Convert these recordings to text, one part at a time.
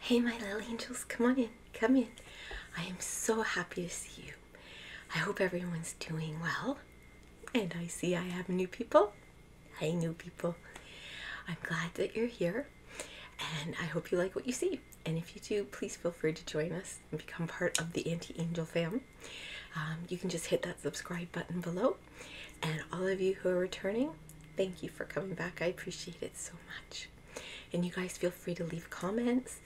Hey, my little angels, come on in, come in. I am so happy to see you. I hope everyone's doing well. And I see I have new people. Hey, new people. I'm glad that you're here. And I hope you like what you see. And if you do, please feel free to join us and become part of the Anti Angel fam. Um, you can just hit that subscribe button below. And all of you who are returning, thank you for coming back. I appreciate it so much. And you guys feel free to leave comments.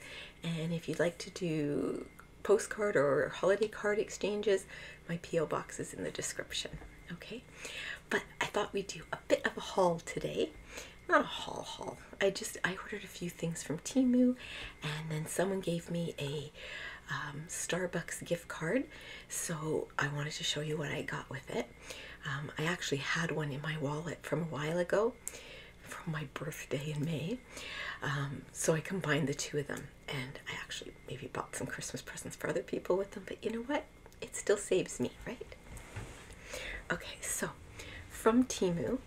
And if you'd like to do postcard or holiday card exchanges, my P.O. box is in the description. Okay? But I thought we'd do a bit of a haul today. Not a haul haul. I just, I ordered a few things from Timu and then someone gave me a um, Starbucks gift card. So I wanted to show you what I got with it. Um, I actually had one in my wallet from a while ago, from my birthday in May. Um, so I combined the two of them, and I actually maybe bought some Christmas presents for other people with them. But you know what? It still saves me, right? Okay, so from Timu,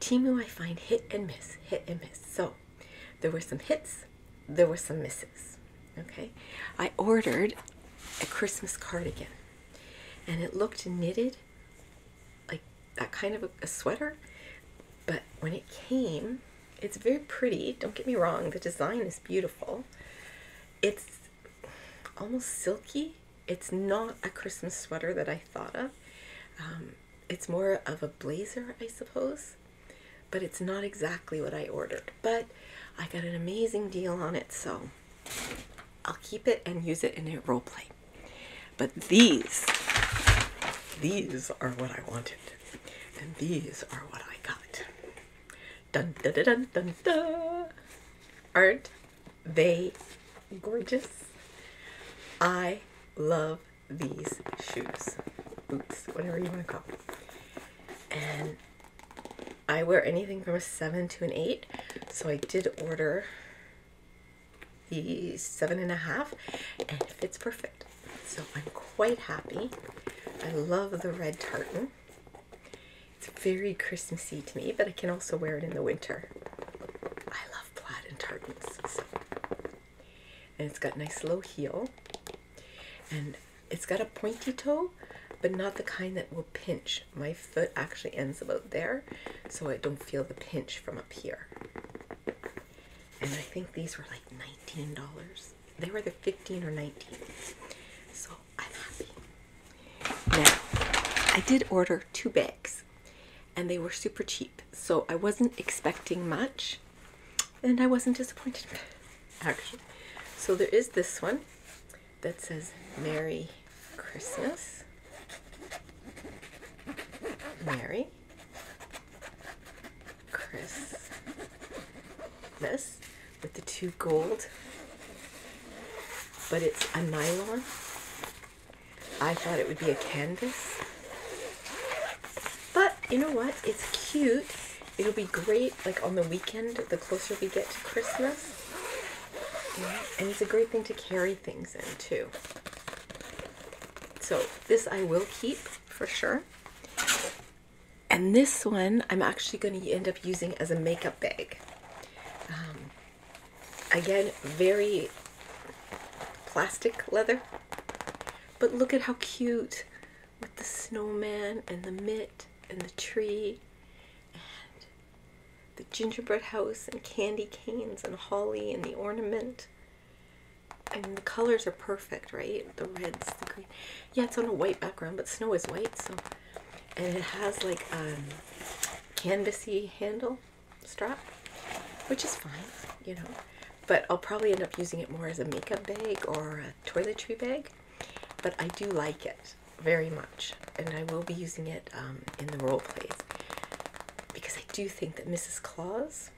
Timu I find hit and miss, hit and miss. So there were some hits, there were some misses. Okay, I ordered a Christmas cardigan and it looked knitted like that kind of a, sweater, but when it came, it's very pretty. Don't get me wrong, the design is beautiful. It's almost silky. It's not a Christmas sweater that I thought of. Um, it's more of a blazer, I suppose, but it's not exactly what I ordered. But I got an amazing deal on it, so I'll keep it and use it in a role play. But these, these are what I wanted, and these are what I got. Dun dun dun dun dun. Aren't they gorgeous? I love these shoes. Boots, whatever you want to call them. And I wear anything from a 7 to an 8, so I did order the seven and a half and it fits perfect. So I'm quite happy. I love the red tartan. It's very Christmassy to me, but I can also wear it in the winter. I love plaid and tartans. And it's got nice low heel. And it's got a pointy toe, but not the kind that will pinch. My foot actually ends about there, so I don't feel the pinch from up here. And I think these were like $19. They were either 15 or 19. So I'm happy. Now, I did order two bags and they were super cheap. So I wasn't expecting much and I wasn't disappointed actually. So there is this one that says Merry Christmas. Merry Christmas with the two gold, but it's a nylon. I thought it would be a canvas, but you know what? It's cute It'll be great like on the weekend, the closer we get to Christmas. and it's a great thing to carry things in too. So this I will keep for sure. And this one I'm actually going to end up using as a makeup bag. Um, again, very plastic leather. But look at how cute with the snowman and the mitt and the tree and the gingerbread house and candy canes and holly and the ornament. I mean, the colors are perfect, right? The reds, the green. Yeah, it's on a white background, but snow is white, so. And it has like a um, canvasy handle strap, which is fine, you know. But I'll probably end up using it more as a makeup bag or a toiletry bag. But I do like it very much, and I will be using it um, in the role plays because I do think that Mrs. Claus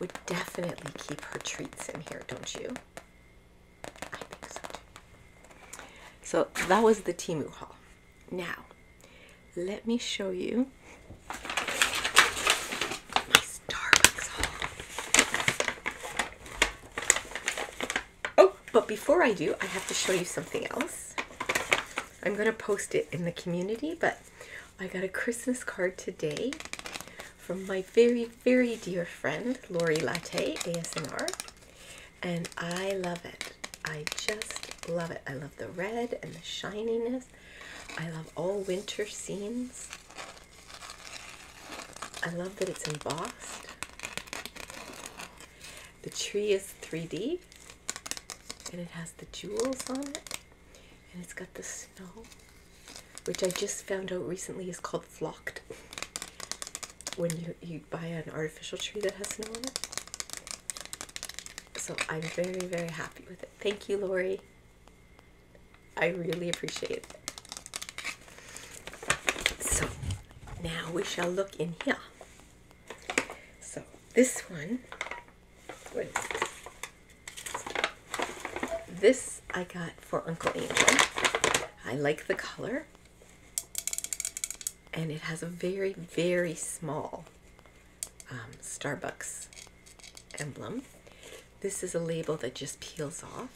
would definitely keep her treats in here, don't you? I think so too. So that was the Timu Hall. Now, let me show you my Starbucks haul. Oh, but before I do, I have to show you something else. I'm going to post it in the community, but I got a Christmas card today from my very, very dear friend, Lori Latte, ASMR. And I love it. I just love it. I love the red and the shininess. I love all winter scenes. I love that it's embossed. The tree is 3D and it has the jewels on it and it's got the snow, which I just found out recently is called flocked when you, you buy an artificial tree that has snow on it. So I'm very, very happy with it. Thank you, Lori. I really appreciate it. So now we shall look in here. So this one, this? I got for Uncle Angel. I like the color. And it has a very, very small um, Starbucks emblem. This is a label that just peels off.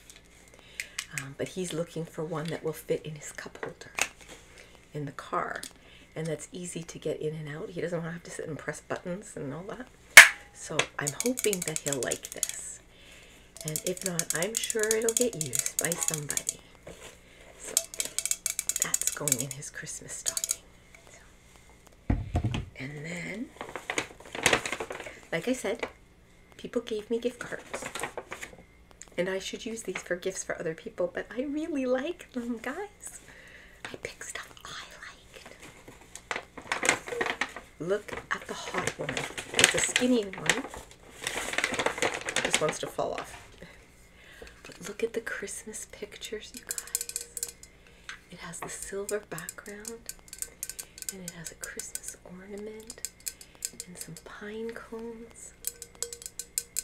Um, but he's looking for one that will fit in his cup holder in the car and that's easy to get in and out. He doesn't want to have to sit and press buttons and all that. So I'm hoping that he'll like this. And if not, I'm sure it'll get used by somebody. So that's going in his Christmas stocking. And then, like I said, People gave me gift cards. And I should use these for gifts for other people, but I really like them, guys. I pick stuff I liked. Look at the hot one. It's a skinny one. This wants to fall off. But look at the Christmas pictures, you guys. It has the silver background and it has a Christmas ornament and some pine cones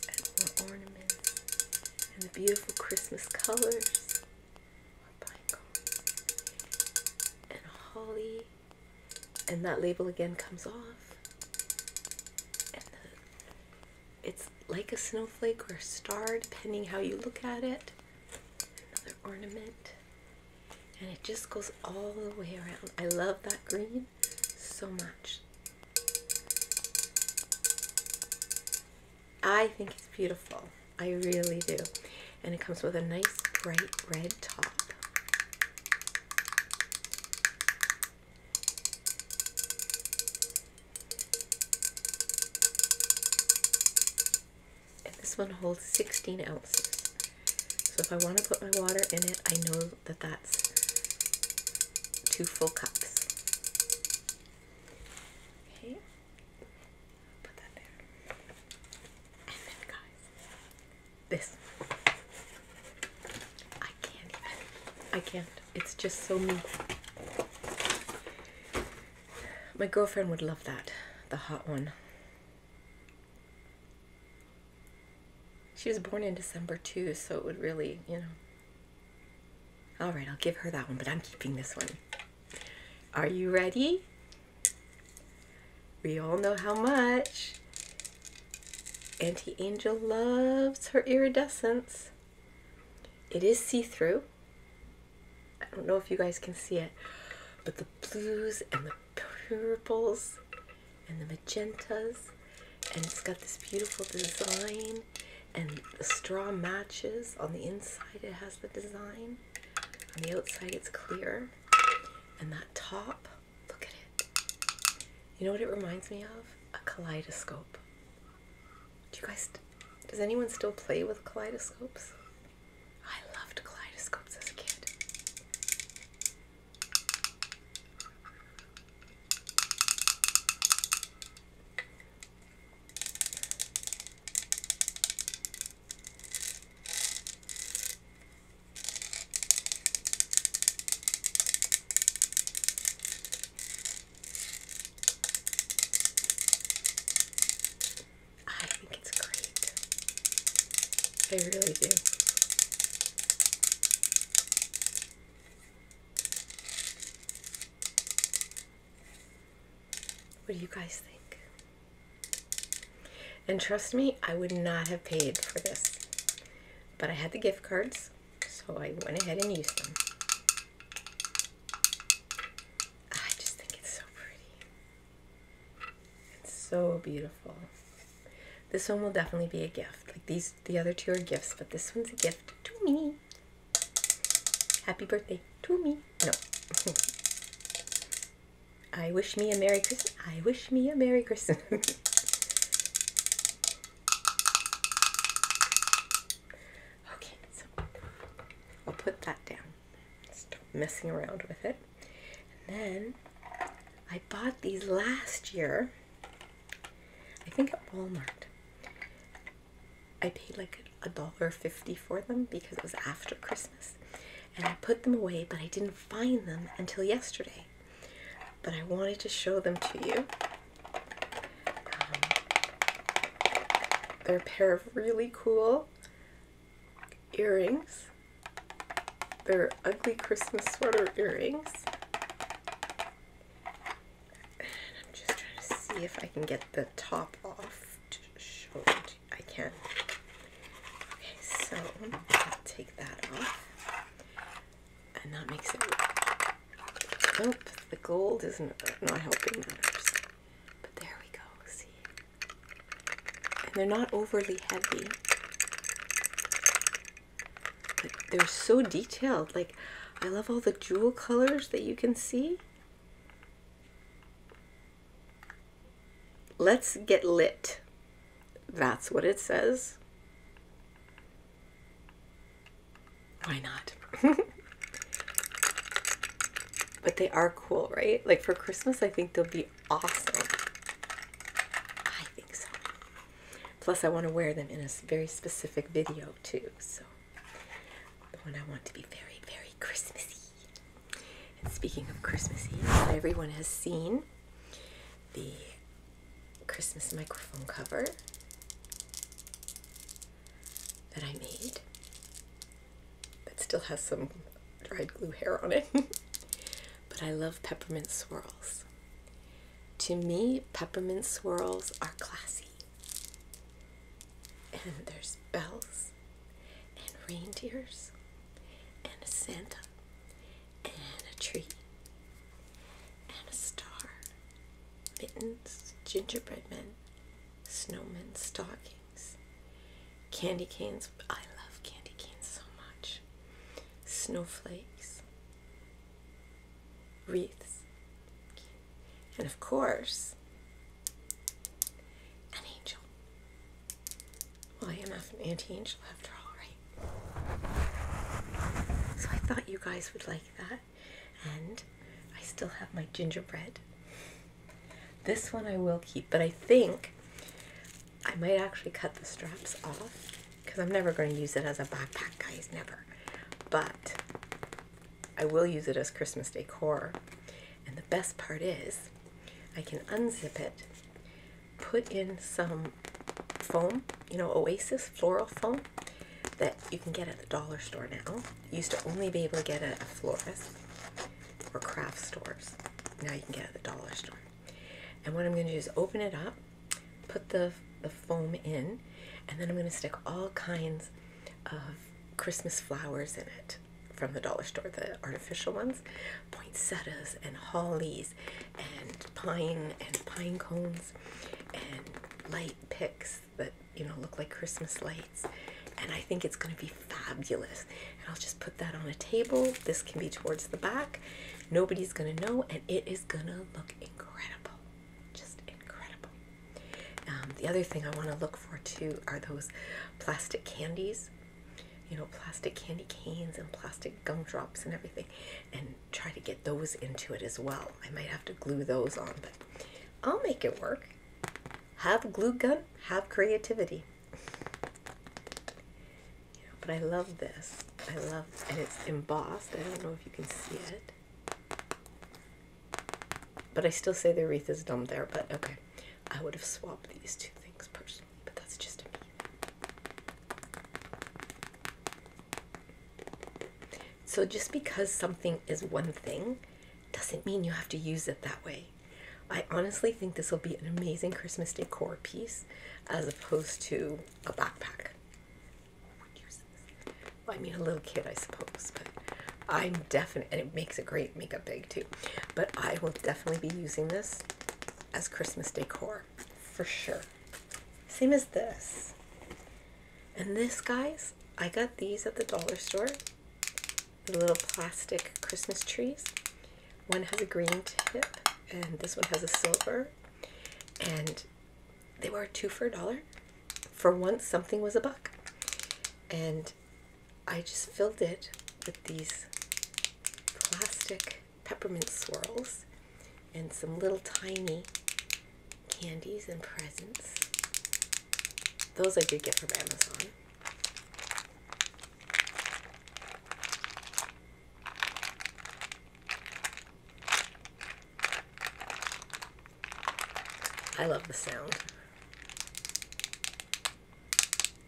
and more ornaments and the beautiful Christmas colors pine cones and holly and that label again comes off it's like a snowflake or a star depending how you look at it another ornament and it just goes all the way around. I love that green so much. I think it's beautiful. I really do. And it comes with a nice bright red top and this one holds 16 ounces. So if I want to put my water in it, I know that that's two full cups. Okay, put that there. And then, guys, this. I can't I can't. It's just so me. My girlfriend would love that, the hot one. She was born in December too, so it would really, you know. All right, I'll give her that one, but I'm keeping this one. Are you ready? We all know how much Auntie Angel loves her iridescence. It is see-through. I don't know if you guys can see it, but the blues and the purples and the magentas, and it's got this beautiful design, and the straw matches. On the inside, it has the design, on the outside, it's clear. And that top, look at it. You know what it reminds me of? A kaleidoscope. Do you guys, does anyone still play with kaleidoscopes? I loved kaleidoscopes as a kid. I think it's great. I really do. What do you guys think? And trust me, I would not have paid for this. But I had the gift cards, so I went ahead and used them. I just think it's so pretty. It's so beautiful. This one will definitely be a gift. Like these, the other two are gifts, but this one's a gift to me. Happy birthday to me. No. I wish me a Merry Christmas. I wish me a Merry Christmas. okay, so I'll put that down. Stop messing around with it. And then I bought these last year, I think at Walmart. I paid like a dollar fifty for them because it was after Christmas. And I put them away, but I didn't find them until yesterday. But I wanted to show them to you. Um, they're a pair of really cool earrings. They're ugly Christmas sweater earrings. I'm just trying to see if I can get the top off to show I can. not Okay, so take that off. And that makes it... Nope, the gold isn't not helping matters. But there we go, see? and they're not overly heavy but they're so detailed like i love all the jewel colors that you can see let's get lit that's what it says why not but they are cool right like for christmas i think they'll be awesome. I think so. Plus, I want to wear them in a very specific video too. So, the one I want to be very, very Christmassy. speaking of Christmassy, everyone has seen the Christmas microphone cover that I made but still has some dried glue hair on it. but I love peppermint swirls. To me, peppermint swirls are classy. And there's bells and reindeers and a Santa and a tree and a star, mittens, gingerbread men, snowmen, stockings. Candy canes, I love candy canes so much. Snowflakes, wreaths, and of course, an angel. Well, I am an anti angel after all, right? So I thought you guys would like that, and I still have my gingerbread this one I will keep, but I think I might actually cut the straps off because I'm never going to use it as a backpack, guys, never. But I will use it as Christmas decor. And the best part is I can unzip it, put in some foam, you know, Oasis floral foam that you can get at the dollar store now. Used to only be able to get it at a florist or craft stores. Now you can get at the dollar store. And what I'm going to do is open it up, put the, the foam in, and then I'm going to stick all kinds of Christmas flowers in it from the dollar store, the artificial ones, poinsettias and hollies and pine and pine cones and light picks that you know look like Christmas lights. And I think it's going to be fabulous. And I'll just put that on a table. This can be towards the back. Nobody's gonna know, and it is gonna look incredible. Just incredible. Um, the other thing I want to look for too are those plastic candies. You know, plastic candy canes and plastic gumdrops and everything, and try to get those into it as well. I might have to glue those on, but I'll make it work. Have glue gun, have creativity but I love this. I love and it's embossed. I don't know if you can see it. But I still say the wreath is dumb there, but okay. I would have swapped these two things personally, but that's just me. So just because something is one thing doesn't mean you have to use it that way. I honestly think this will be an amazing Christmas decor piece as opposed to a backpack. I mean, a little kid, I suppose, but I'm definite, and it makes a great makeup bag too. But I will definitely be using this as Christmas decor for sure. Same as this. And this, guys, I got these at the dollar store the little plastic Christmas trees. One has a green tip, and this one has a silver. And they were two for a dollar. For once, something was a buck. And I just filled it with these plastic peppermint swirls and some little tiny candies and presents. Those I did get from Amazon. I love the sound.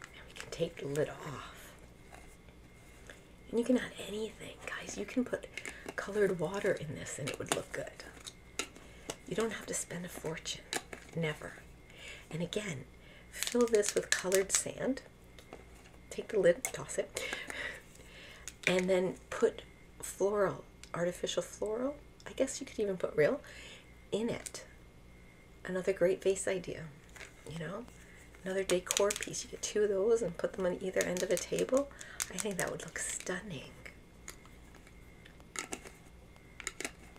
And we can take the lid off. And you can add anything, guys. You can put colored water in this and it would look good. You don't have to spend a fortune. Never. And again, fill this with colored sand. Take the lid, toss it, and then put floral, artificial floral, I guess you could even put real, in it. Another great vase idea, you know? Another decor piece. You get two of those and put them on either end of a table. I think that would look stunning.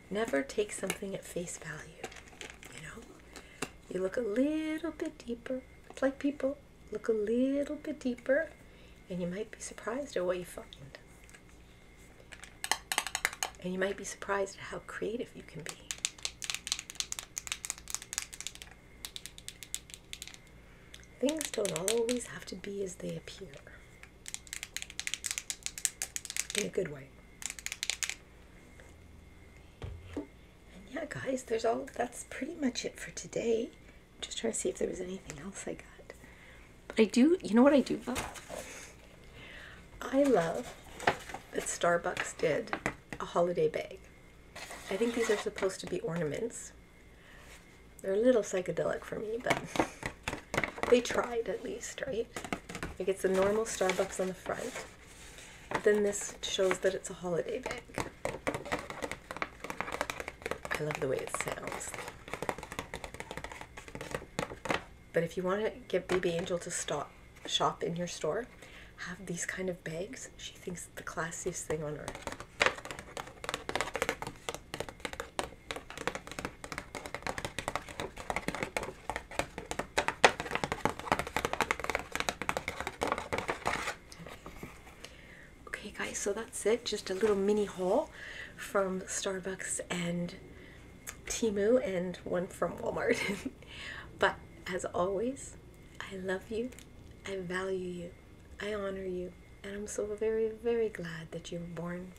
Never take something at face value. You know, you look a little bit deeper. It's like people look a little bit deeper, and you might be surprised at what you find. And you might be surprised at how creative you can be. Things don't always have to be as they appear. In a good way yeah, guys, there's all that's pretty much it for today. just trying to see if there was anything else I got. But I do, you know what I do though. I love that Starbucks did a holiday bag. I think these are supposed to be ornaments. They're a little psychedelic for me, but they tried at least, right? It gets the normal Starbucks on the front. Then this shows that it's a holiday bag. I love the way it sounds. But if you want to get Baby Angel to stop shop in your store, have these kind of bags. She thinks the classiest thing on earth. Okay guys, so that's it. Just a little mini haul from Starbucks and Timu and one from Walmart. but as always, I love you, I value you, I honor you, and I'm so very, very glad that you were born